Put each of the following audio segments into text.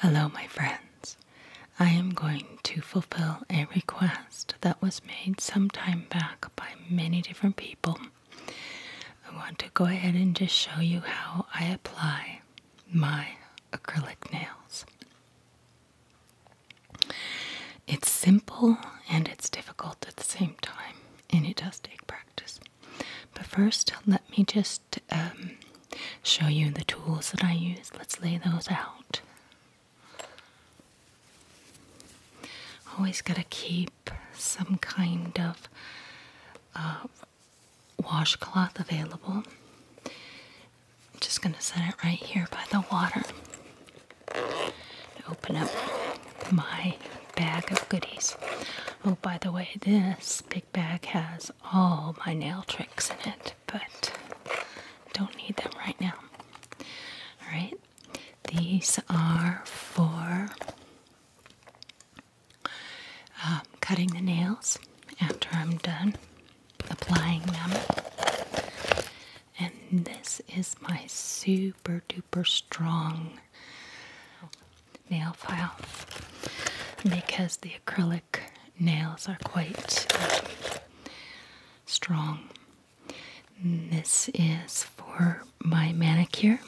Hello, my friends. I am going to fulfill a request that was made some time back by many different people. I want to go ahead and just show you how I apply my acrylic nails. It's simple and it's difficult at the same time, and it does take practice. But first, let me just um, show you the tools that I use. Let's lay those out. Always gotta keep some kind of uh, washcloth available. I'm just going to set it right here by the water. Open up my bag of goodies. Oh, by the way, this big bag has all my nail tricks in it, but don't need them right now. All right, these are for um, cutting the nails after I'm done applying them. And this is my super duper strong nail file because the acrylic nails are quite um, strong. this is for my manicure,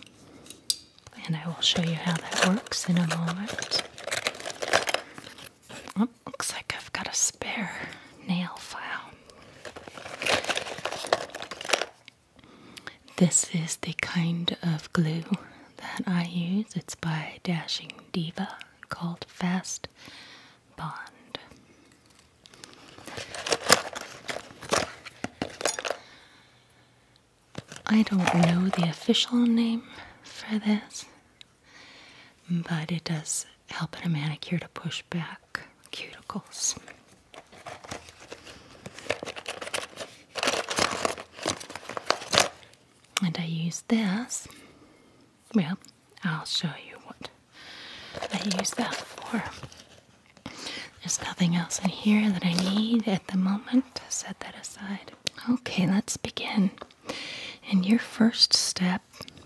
and I will show you how that works in a moment. Oh, looks like I've got a spare nail file. This is the kind of glue that I use. It's by Dashing Diva called Fast Bond. I don't know the official name for this but it does help in a manicure to push back cuticles. And I use this. Well, I'll show you what I use that for. There's nothing else in here that I need at the moment. Set that aside. Okay, let's begin. And your first step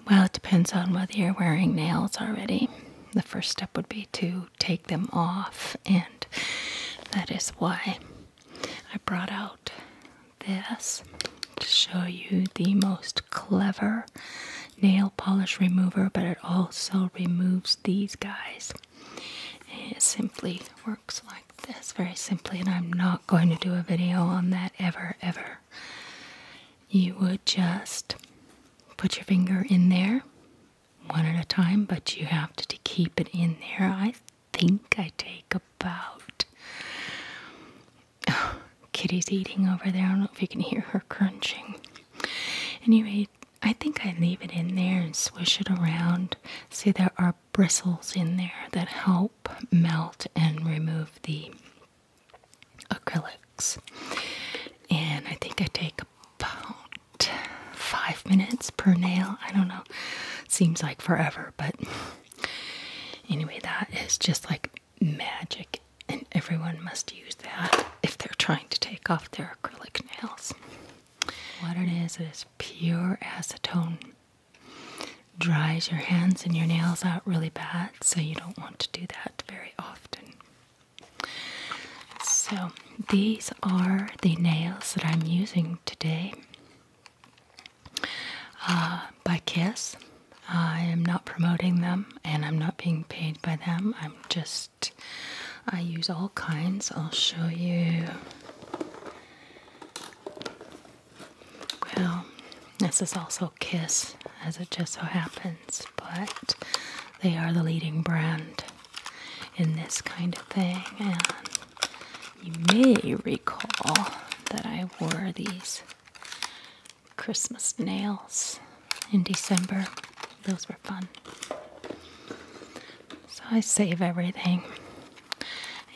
well, it depends on whether you're wearing nails already. The first step would be to take them off, and that is why I brought out this to show you the most clever nail polish remover, but it also removes these guys. It simply works like this very simply, and I'm not going to do a video on that ever, ever, you would just put your finger in there one at a time, but you have to, keep it in there. I think I take about. Kitty's eating over there. I don't know if you can hear her crunching. Anyway, I think I leave it in there and swish it around. See, there are bristles in there that help melt and remove the acrylics. And I think I take about five minutes per nail. I don't know. Seems like forever, but anyway, that is just like magic, and everyone must use that if they're trying to take off their acrylic nails. What it is, it is pure acetone dries your hands and your nails out really bad, so you don't want to do that very often. So, these are the nails that I'm using today uh, by Kiss. I am not promoting them and I'm not being paid by them. I'm just, I use all kinds. I'll show you well, this is also Kiss, as it just so happens, but they are the leading brand in this kind of thing. And you may recall that I wore these Christmas nails in December. Those were fun. So I save everything.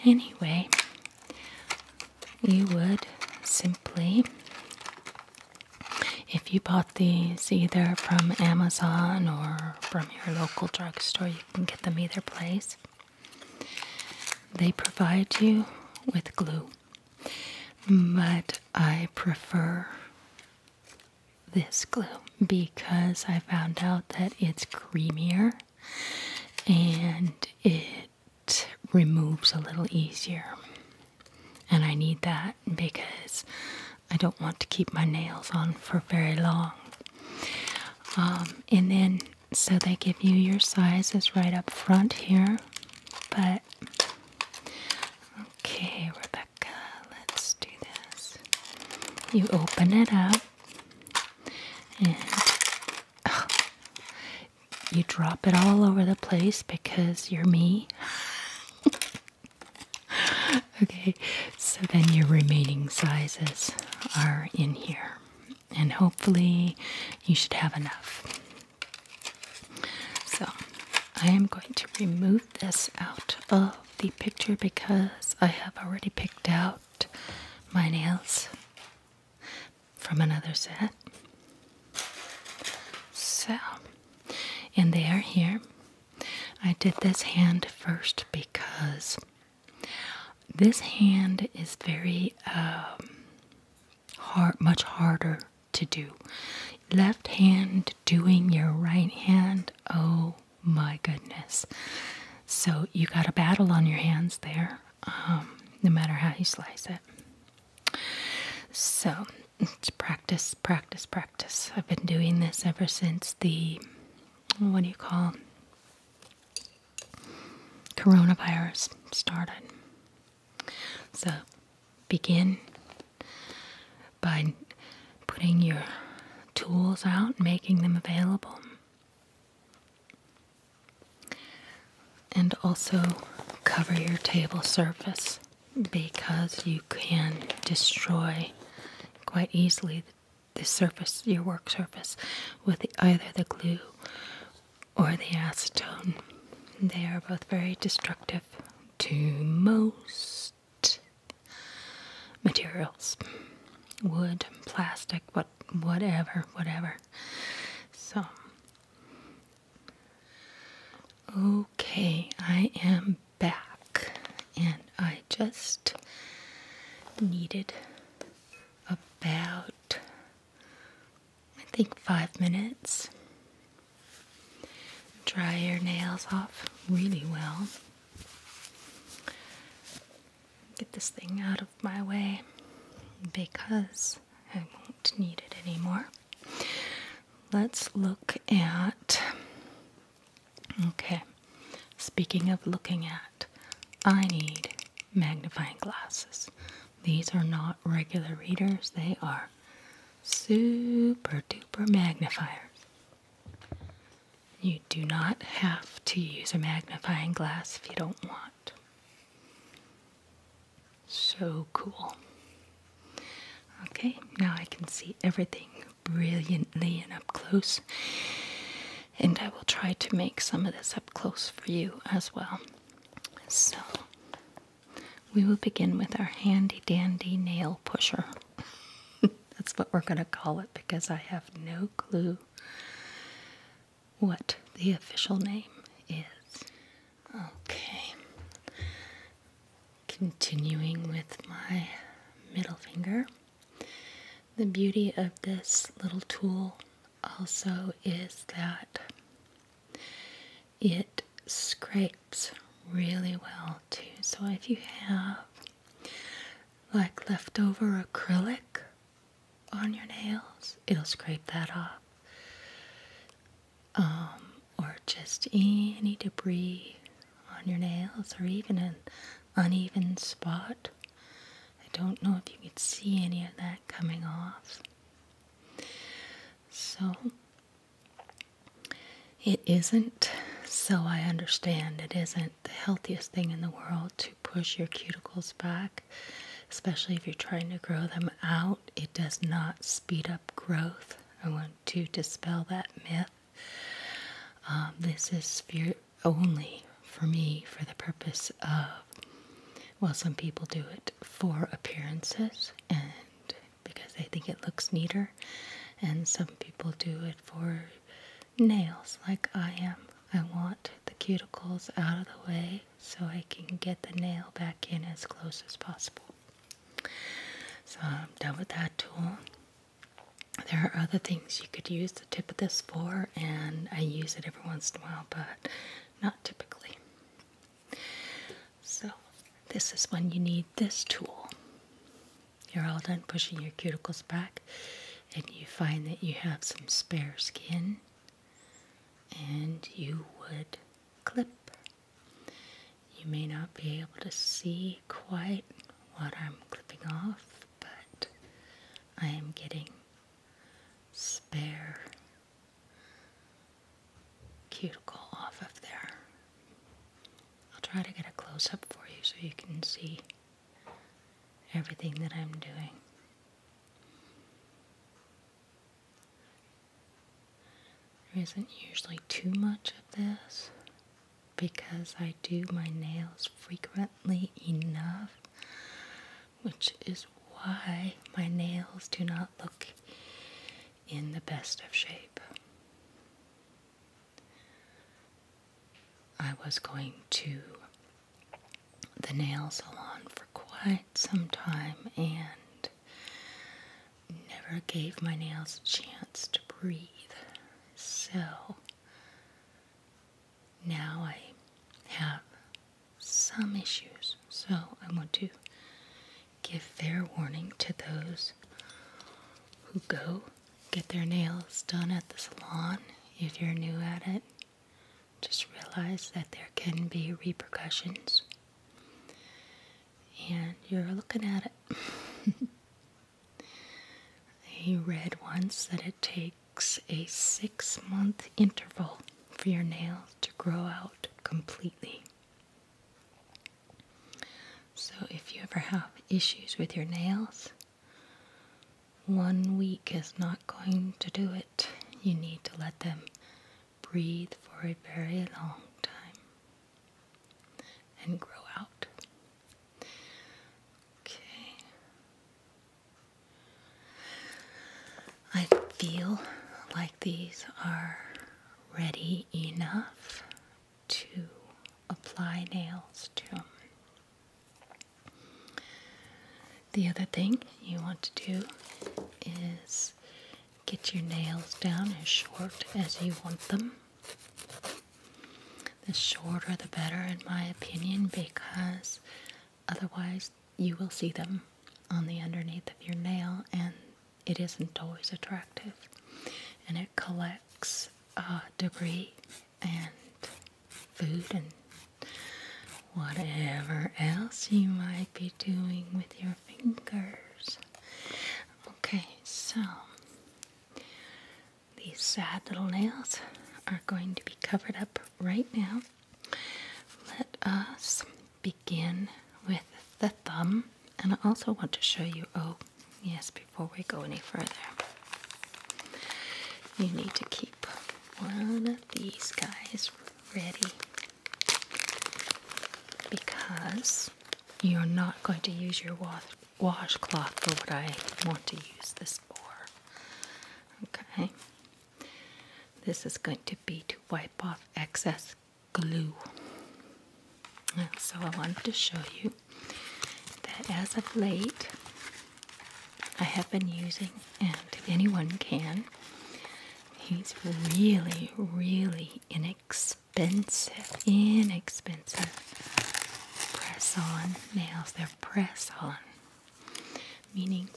Anyway, you would simply, if you bought these either from Amazon or from your local drugstore, you can get them either place. They provide you with glue, but I prefer this glue because I found out that it's creamier and it removes a little easier. And I need that because I don't want to keep my nails on for very long. Um, and then, so they give you your sizes right up front here. But, okay, Rebecca, let's do this. You open it up, and you drop it all over the place because you're me. okay, so then your remaining sizes are in here, and hopefully, you should have enough. So, I am going to remove this out of the picture because I have already picked out my nails from another set. So, and they are here. I did this hand first because this hand is very um, hard, much harder to do. Left hand doing your right hand, oh my goodness. So you got a battle on your hands there. Um, no matter how you slice it. So practice, practice, practice. I've been doing this ever since the what do you call coronavirus started. So begin by putting your tools out, making them available. And also cover your table surface because you can destroy quite easily the surface, your work surface, with either the glue or the acetone. They are both very destructive to most materials wood, plastic, whatever whatever, whatever. So, okay, I am back, and I just needed about, I think, five minutes. Dry your nails off really well get this thing out of my way because I won't need it anymore. Let's look at. Okay, speaking of looking at, I need magnifying glasses. These are not regular readers, they are super duper magnifiers. You do not have to use a magnifying glass if you don't want. So cool. Okay, now I can see everything brilliantly and up close, and I will try to make some of this up close for you as well. So, we will begin with our handy dandy nail pusher. That's what we're going to call it because I have no clue what the official name is. Okay. Continuing with my middle finger. The beauty of this little tool also is that it scrapes really well too. So if you have like leftover acrylic on your nails, it'll scrape that off. Um, or just any debris on your nails, or even an uneven spot. I don't know if you could see any of that coming off. So, it isn't, so I understand, it isn't the healthiest thing in the world push your cuticles back, especially if you're trying to grow them out. It does not speed up growth. I want to dispel that myth. Um, this is only for me for the purpose of, well, some people do it for appearances and because they think it looks neater, and some people do it for nails like I am. I want the cuticles out of the way so I can get the nail back in as close as possible. So I'm done with that tool. There are other things you could use the tip of this for, and I use it every once in a while, but not typically. So, this is when you need this tool. You're all done pushing your cuticles back and you find that you have some spare skin, and you would clip. You may not be able to see quite what I'm clipping off, but I am getting spare cuticle off of there. I'll try to get a close up for you so you can see everything that I'm doing. There isn't usually too much of this because I do my nails frequently enough, which is why my nails do not look in the best of shape. I was going to the nail salon for quite some time and never gave my nails a chance to breathe. So now I have some issues. So I want to give fair warning to those who go get their nails done at the salon if you're new at it. Just realize that there can be repercussions and you're looking at it. I read once that it takes a six month interval for your nails to grow out completely. So, if you ever have issues with your nails, one week is not going to do it. You need to let them breathe for a very long time and grow out. Okay. I feel like these are ready enough to apply nails to the other thing you want to do is get your nails down as short as you want them. The shorter the better, in my opinion, because otherwise you will see them on the underneath of your nail and it isn't always attractive and it collects uh, debris and food and whatever else you might be doing with your fingers. Okay, so these sad little nails are going to be covered up right now. Let us begin with the thumb, and I also want to show you oh, Yes, before we go any further, you need to keep one of these guys ready because you're not going to use your wa washcloth for what I want to use this for. Okay? This is going to be to wipe off excess glue. so I wanted to show you that as of late I have been using, and anyone can, he's really, really inexpensive, inexpensive press on nails. They're press on, meaning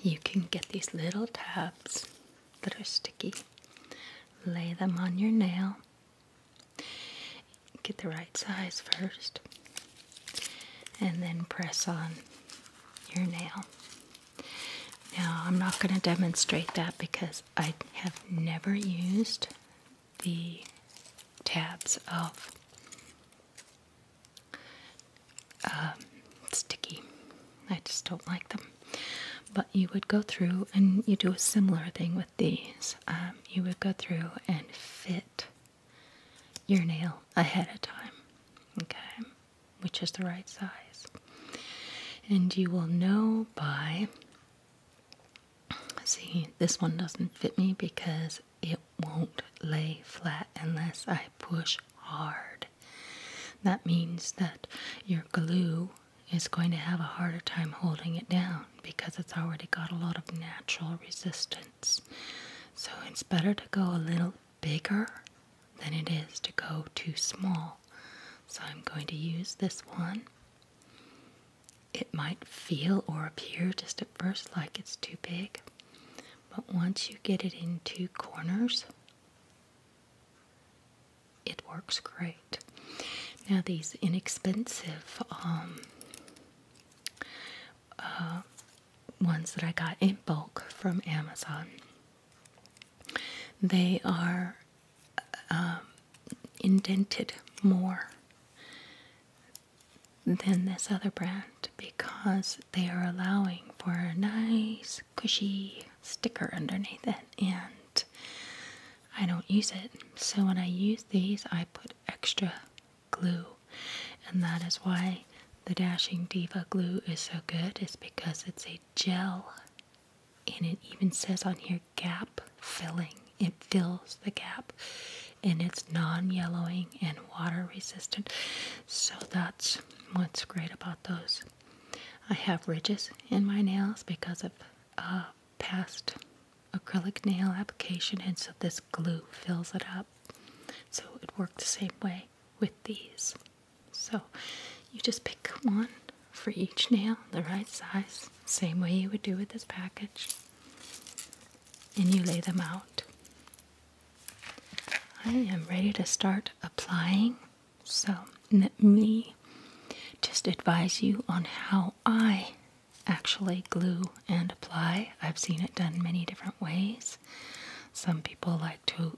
you can get these little tabs that are sticky, lay them on your nail. Get the right size first and then press on your nail. Now, I'm not going to demonstrate that because I have never used the tabs of um, sticky. I just don't like them. But you would go through and you do a similar thing with these, um, you would go through and fit your nail ahead of time, okay, which is the right size. And you will know by, see, this one doesn't fit me because it won't lay flat unless I push hard. That means that your glue is going to have a harder time holding it down because it's already got a lot of natural resistance. So it's better to go a little bigger than it is to go too small. So I'm going to use this one. It might feel or appear just at first like it's too big, but once you get it into corners, it works great. Now, these inexpensive um, uh, ones that I got in bulk from Amazon, they are um, indented more than this other brand because they are allowing for a nice, cushy sticker underneath it and I don't use it. So when I use these, I put extra glue, and that is why the Dashing Diva glue is so good, is because it's a gel and it even says on here gap filling. It fills the gap and it's non yellowing and water resistant. So that's what's great about those. I have ridges in my nails because of uh, past acrylic nail application, and so this glue fills it up. So it worked the same way with these. So you just pick one for each nail, the right size, same way you would do with this package, and you lay them out. I am ready to start applying. So let me just advise you on how I actually glue and apply. I've seen it done many different ways. Some people like to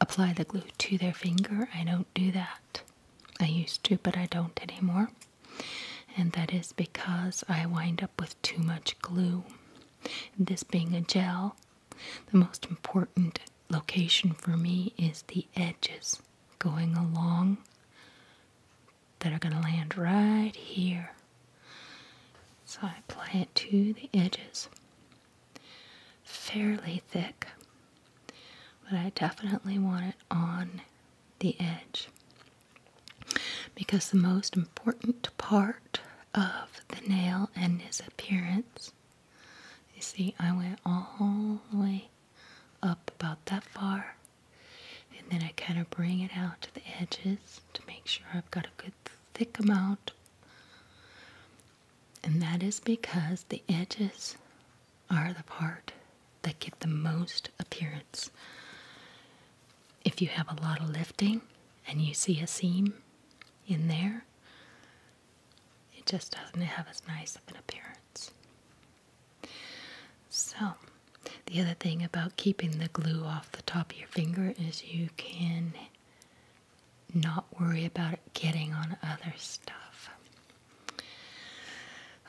apply the glue to their finger. I don't do that. I used to, but I don't anymore. And that is because I wind up with too much glue. This being a gel, the most important location for me is the edges going along that are going to land right here. So I apply it to the edges. Fairly thick, but I definitely want it on the edge because the most important part of the nail and its appearance. You see, I went all the way up about that far and then I kind of bring it out to the edges to make sure I've got a good thick amount and that is because the edges are the part that get the most appearance if you have a lot of lifting and you see a seam in there it just doesn't have as nice of an appearance so, the other thing about keeping the glue off the top of your finger is you can not worry about it getting on other stuff.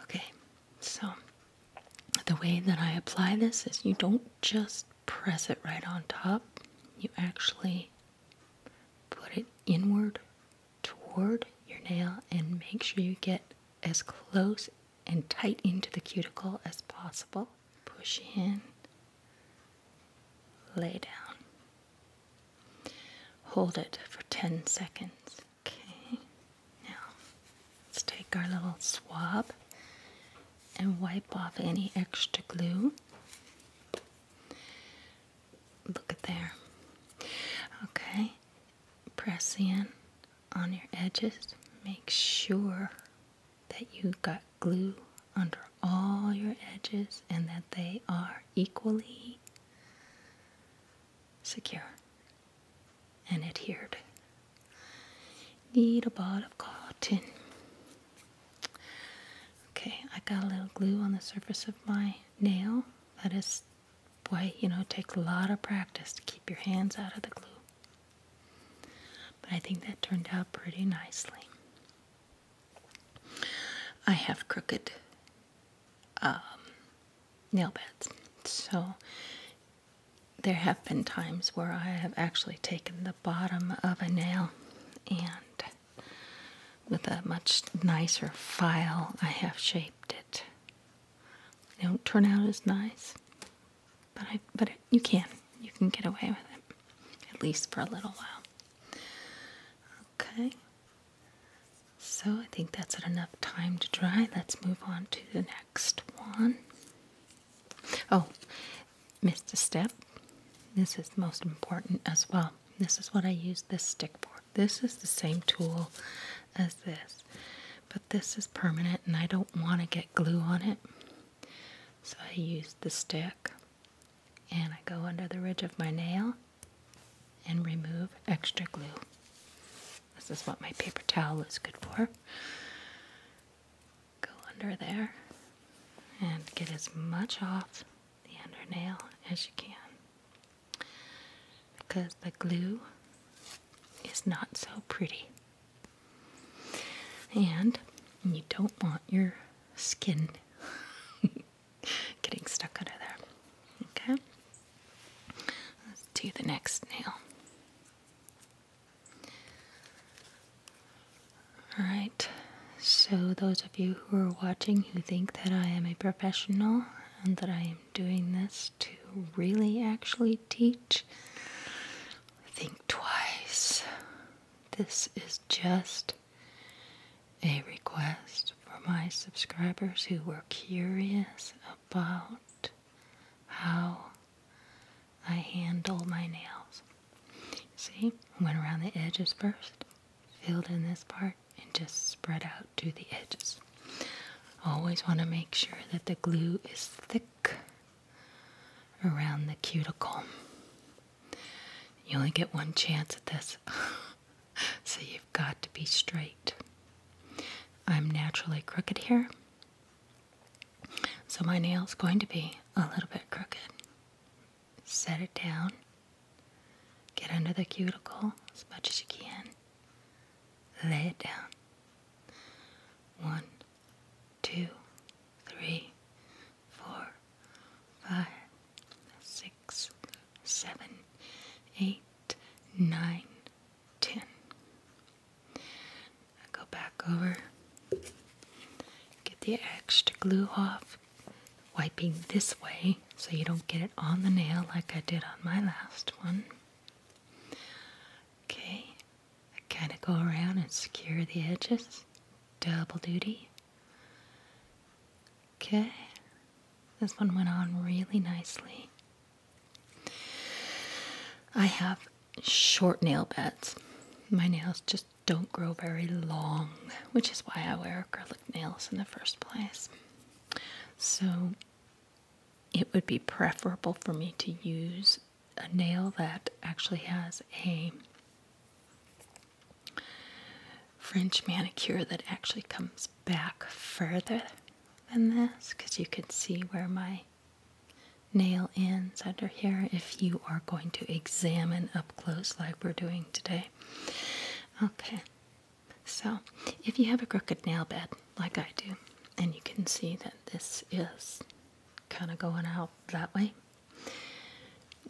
Okay, so the way that I apply this is you don't just press it right on top, you actually put it inward toward your nail and make sure you get as close and tight into the cuticle as possible. Push in, lay down. Hold it for 10 seconds. Okay, now let's take our little swab and wipe off any extra glue look at there. Okay, press in on your edges. Make sure that you got glue under all your edges and that they are equally secure and adhered. Need a ball of cotton. Okay, I got a little glue on the surface of my nail that is Boy, you know, it takes a lot of practice to keep your hands out of the glue. But I think that turned out pretty nicely. I have crooked um, nail beds. So there have been times where I have actually taken the bottom of a nail and with a much nicer file, I have shaped it. They don't turn out as nice, but I but you can you can get away with it at least for a little while. Okay. So I think that's enough time to dry. Let's move on to the next one. Oh, missed a step. This is most important as well. This is what I use this stick for. This is the same tool as this, but this is permanent and I don't want to get glue on it. So I use the stick and I go under the ridge of my nail and remove extra glue. This is what my paper towel is good for. Go under there and get as much off the under nail as you can because the glue is not so pretty. And you don't want your skin getting stuck under there. Okay? Let's do the next nail. Alright, so those of you who are watching who think that I am a professional and that I am doing this to really actually teach, think twice. This is just a request for my subscribers who were curious about how I handle my nails. See, went around the edges first, filled in this part, and just spread out to the edges. Always want to make sure that the glue is thick around the cuticle. You only get one chance at this, so you've got to be straight. I'm naturally crooked here, so my nail is going to be a little bit crooked set it down, get under the cuticle as much as you can, lay it down. One, two, three, four, five, six, seven, eight, nine, ten. go back over, get the extra glue off, wiping this way so you don't get it on the nail like I did on my last one. Okay, I kind of go around and secure the edges. Double duty. Okay, this one went on really nicely. I have short nail beds. My nails just don't grow very long, which is why I wear acrylic nails in the first place. So it would be preferable for me to use a nail that actually has a French manicure that actually comes back further than this because you can see where my nail ends under here if you are going to examine up close like we're doing today. Okay, so, if you have a crooked nail bed like I do, and you can see that this is kind of going out that way,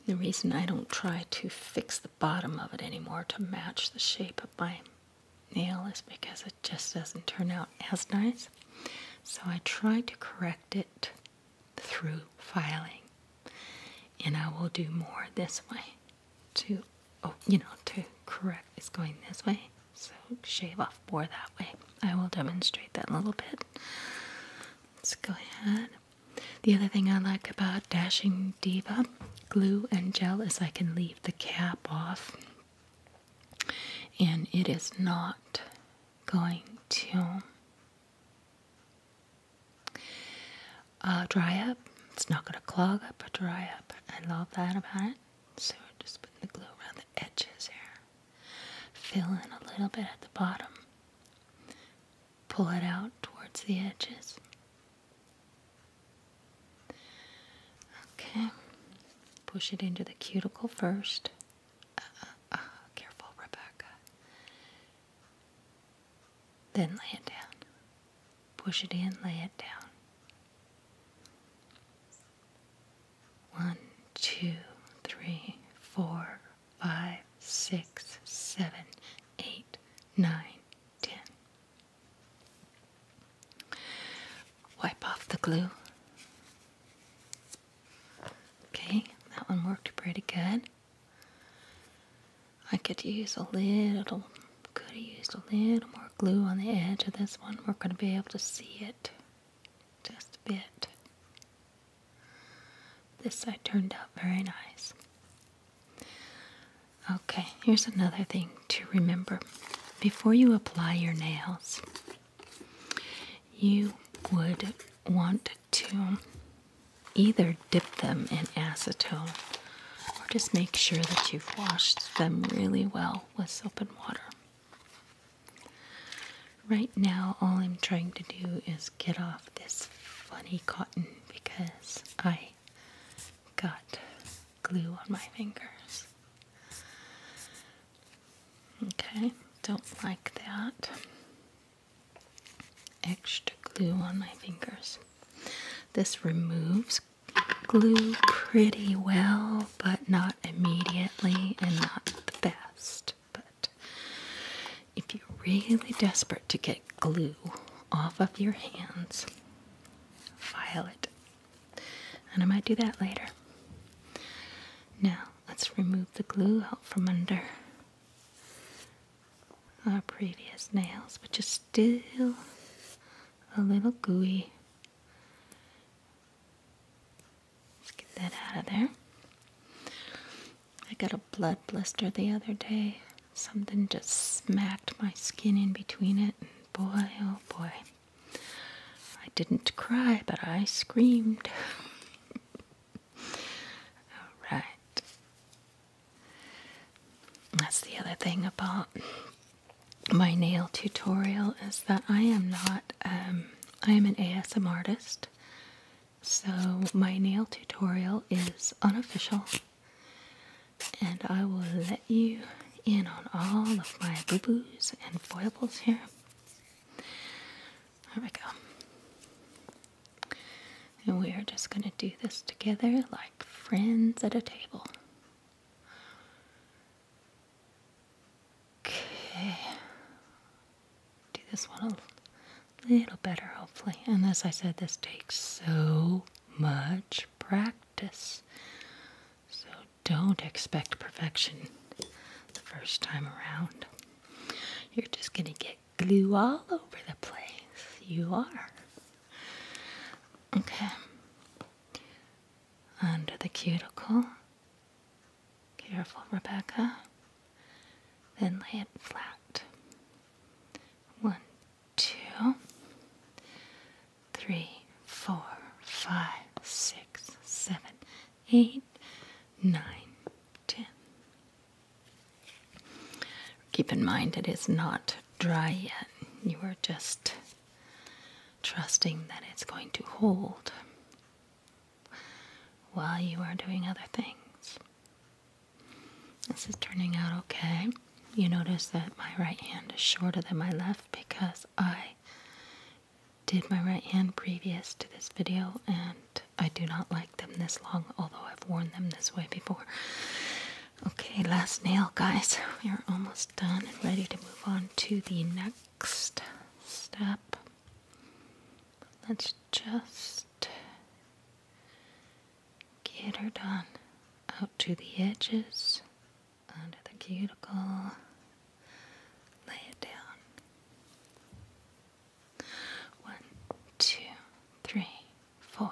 the reason I don't try to fix the bottom of it anymore to match the shape of my nail is because it just doesn't turn out as nice. So, I try to correct it through filing, and I will do more this way to, oh, you know, to correct is going this way. So shave off more that way. I will demonstrate that in a little bit. Let's go ahead. The other thing I like about Dashing Diva glue and gel is I can leave the cap off and it is not going to uh, dry up. It's not going to clog up or dry up. I love that about it. So just putting the glue around the edges here. Fill in a little bit at the bottom. Pull it out towards the edges. Okay. Push it into the cuticle first. Uh, uh, careful, Rebecca. Then lay it down. Push it in, lay it down. One, two, three, four, five, six, seven, eight, nine, ten. Wipe off the glue. Okay, that one worked pretty good. I could use a little, could use a little more glue on the edge of this one. We're going to be able to see it just a bit. This side turned out very nice. Okay, here's another thing to remember. Before you apply your nails, you would want to either dip them in acetone or just make sure that you've washed them really well with soap and water. Right now, all I'm trying to do is get off this funny cotton because I got glue on my fingers. Okay, don't like that extra glue on my fingers. This removes glue pretty well, but not immediately and not the best. But if you're really desperate to get glue off of your hands, file it. And I might do that later. Now, let's remove the glue out from under our previous nails, but you're still a little gooey. Let's get that out of there. I got a blood blister the other day. Something just smacked my skin in between it, and boy, oh boy. I didn't cry, but I screamed. Alright. That's the other thing about my nail tutorial is that I am not, um, I am an ASM artist. So my nail tutorial is unofficial. And I will let you in on all of my boo boos and foibles here. There we go. And we are just going to do this together like friends at a table. Okay. Do this one a little better, hopefully. And as I said, this takes so much practice. So don't expect perfection the first time around. You're just going to get glue all over the place. You are. Okay. Under the cuticle. Careful, Rebecca. Then lay it flat. One, two, three, four, five, six, seven, eight, nine, ten, Keep in mind it is not dry yet. You are just trusting that it's going to hold while you are doing other things. This is turning out okay. You notice that my right hand is shorter than my left because I did my right hand previous to this video and I do not like them this long, although I've worn them this way before. Okay, last nail, guys. We are almost done and ready to move on to the next step. Let's just get her done. Out to the edges, under the cuticle, lay it down. One, two, three, four,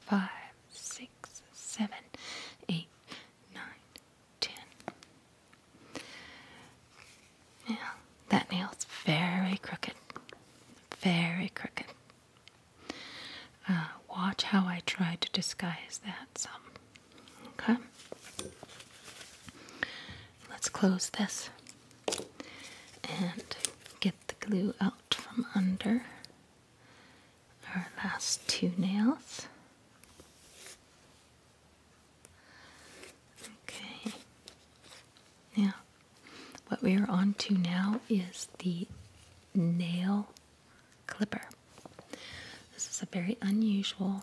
five, six, seven, eight, nine, ten. Now, that nail's very crooked. Very crooked. Uh, watch how I try to disguise that Okay? Let's close this and get the glue out from under our last two nails. Okay, now what we are on to now is the nail clipper. This is a very unusual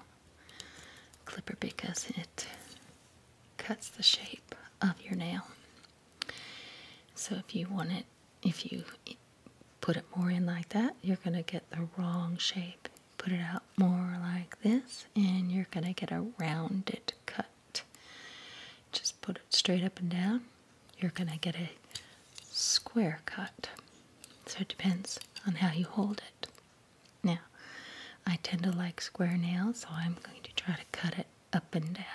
clipper because it cuts the shape of your nail. So if you want it, if you put it more in like that, you're going to get the wrong shape. Put it out more like this, and you're going to get a rounded cut. Just put it straight up and down, you're going to get a square cut. So it depends on how you hold it. Now, I tend to like square nails, so I'm going to try to cut it up and down.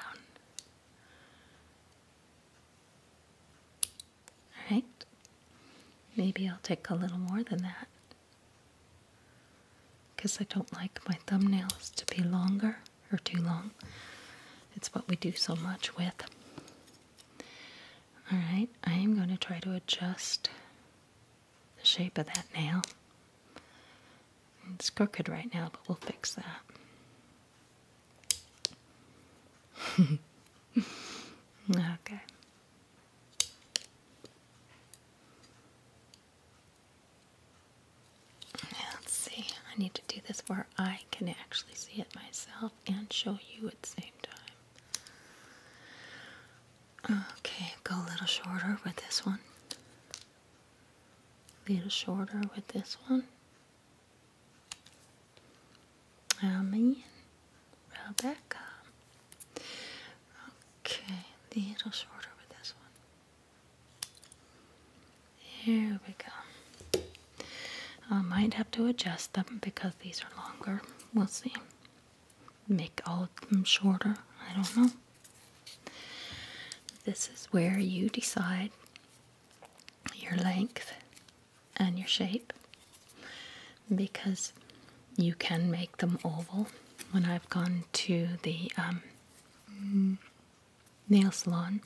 Alright, maybe I'll take a little more than that because I don't like my thumbnails to be longer or too long. It's what we do so much with. Alright, I am going to try to adjust the shape of that nail. It's crooked right now, but we'll fix that. okay. Let's see. I need to do this where I can actually see it myself and show you at the same time. Okay, go a little shorter with this one. A little shorter with this one. I mean, Rebecca. Okay, little shorter with this one. Here we go. I might have to adjust them because these are longer. We'll see make all of them shorter. I don't know. This is where you decide your length and your shape because you can make them oval. When I've gone to the um, nail salon,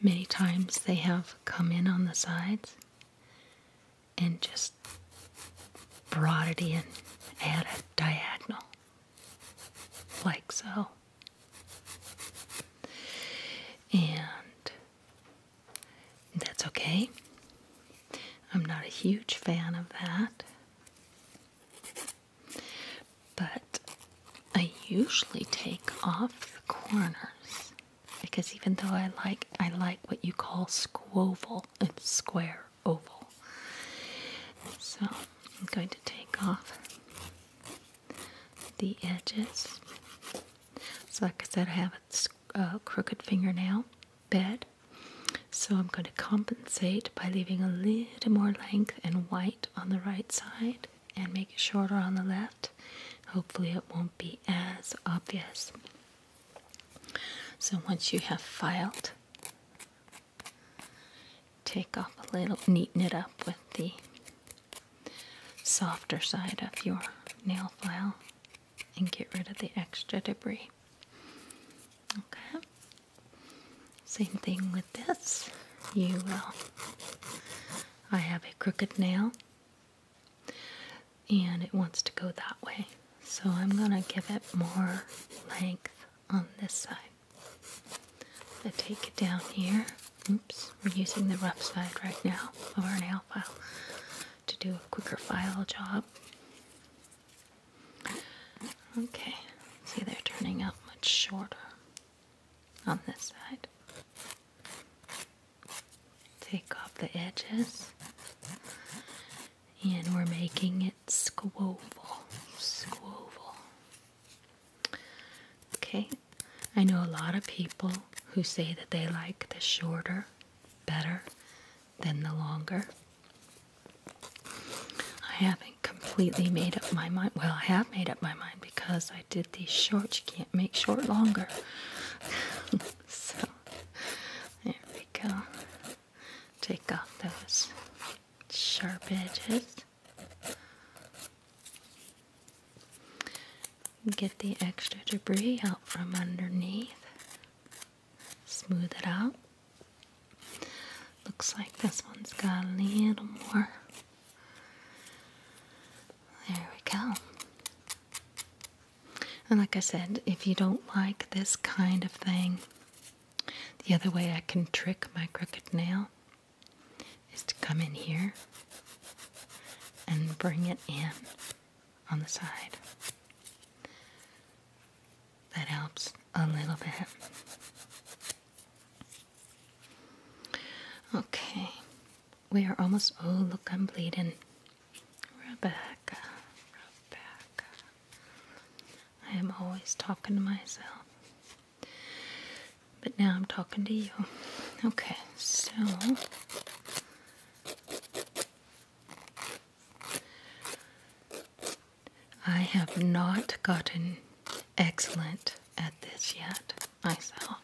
many times they have come in on the sides and just brought it in at a diagonal like so. And that's okay. I'm not a huge fan of that. But I usually take off the corners because even though I like I like what you call squoval and uh, square oval. So I'm going to take off the edges. So like I said, I have a crooked fingernail bed. So I'm going to compensate by leaving a little more length and white on the right side and make it shorter on the left. Hopefully it won't be as obvious. So once you have filed take off a little, neaten it up with the softer side of your nail file and get rid of the extra debris. Okay. Same thing with this. You will. I have a crooked nail and it wants to go that way. So I'm going to give it more length on this side. I take it down here. Oops, we're using the rough side right now of our nail file to do a quicker file job. Okay, see they're turning out much shorter on this side. Take off the edges and we're making it squoval. Squoval. Okay, I know a lot of people who say that they like the shorter better than the longer. I haven't completely made up my mind. Well, I have made up my mind because I did these shorts. You can't make short longer. so, there we go take off those sharp edges. Get the extra debris out from underneath. Smooth it out. Looks like this one's got a little more. There we go. And like I said, if you don't like this kind of thing, the other way I can trick my crooked nail is to come in here and bring it in on the side. That helps a little bit. Okay, we are almost. Oh, look, I'm bleeding. Rebecca, I am always talking to myself. But now I'm talking to you. Okay, so I have not gotten excellent at this yet myself.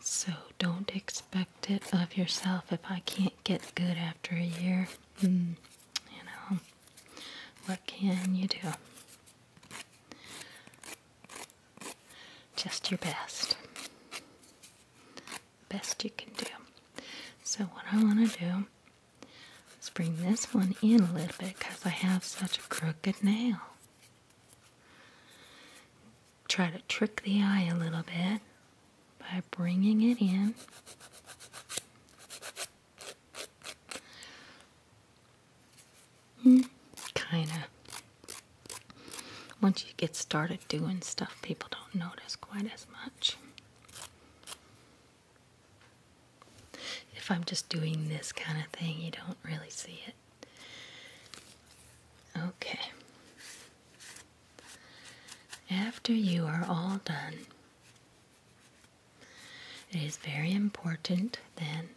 So don't expect it of yourself if I can't get good after a year. Mm, you know, what can you do? Just your best. Best you can do. So, what I want to do is bring this one in a little bit because I have such a crooked nail. Try to trick the eye a little bit by bringing it in. Hmm, kind of. Once you get started doing stuff, people don't notice quite as much. If I'm just doing this kind of thing, you don't really see it. Okay. After you are all done, it is very important then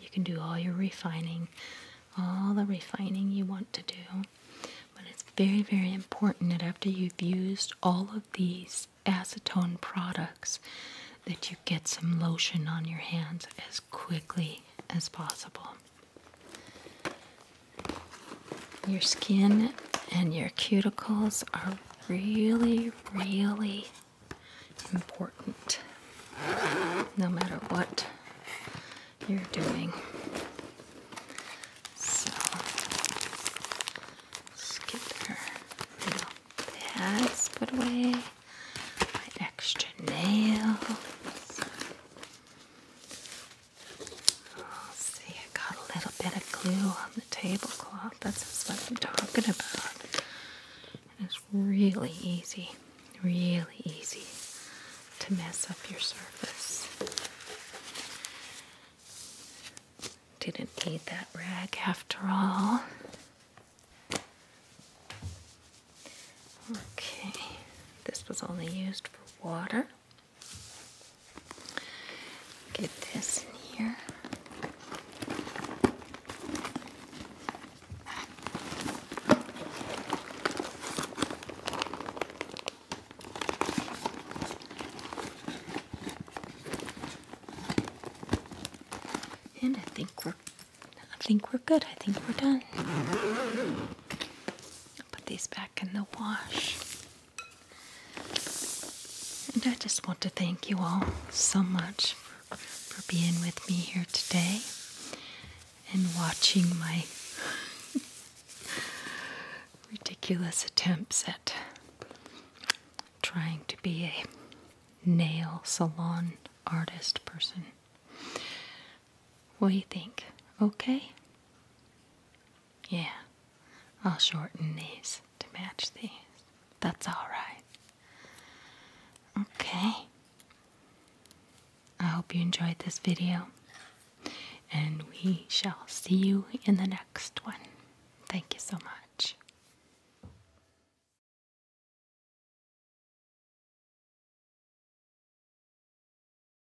you can do all your refining, all the refining you want to do. But it's very, very important that after you've used all of these acetone products, that you get some lotion on your hands as quickly as possible. Your skin and your cuticles are really, really important no matter what you're doing. So, let get our little pads put away, my extra nails. See, I got a little bit of glue on the tablecloth. That's what I'm talking about. it's really easy, really easy to mess up your surface. Didn't need that rag after all. Okay, this was only used for water. Get this in here. And I think we're I think we're good. I think we're done. put these back in the wash. And I just want to thank you all so much for, being with me here today and watching my ridiculous attempts at trying to be a nail salon artist person. What do you think? Okay? Yeah, I'll shorten these to match these. That's alright. Okay. I hope you enjoyed this video, and we shall see you in the next one. Thank you so much.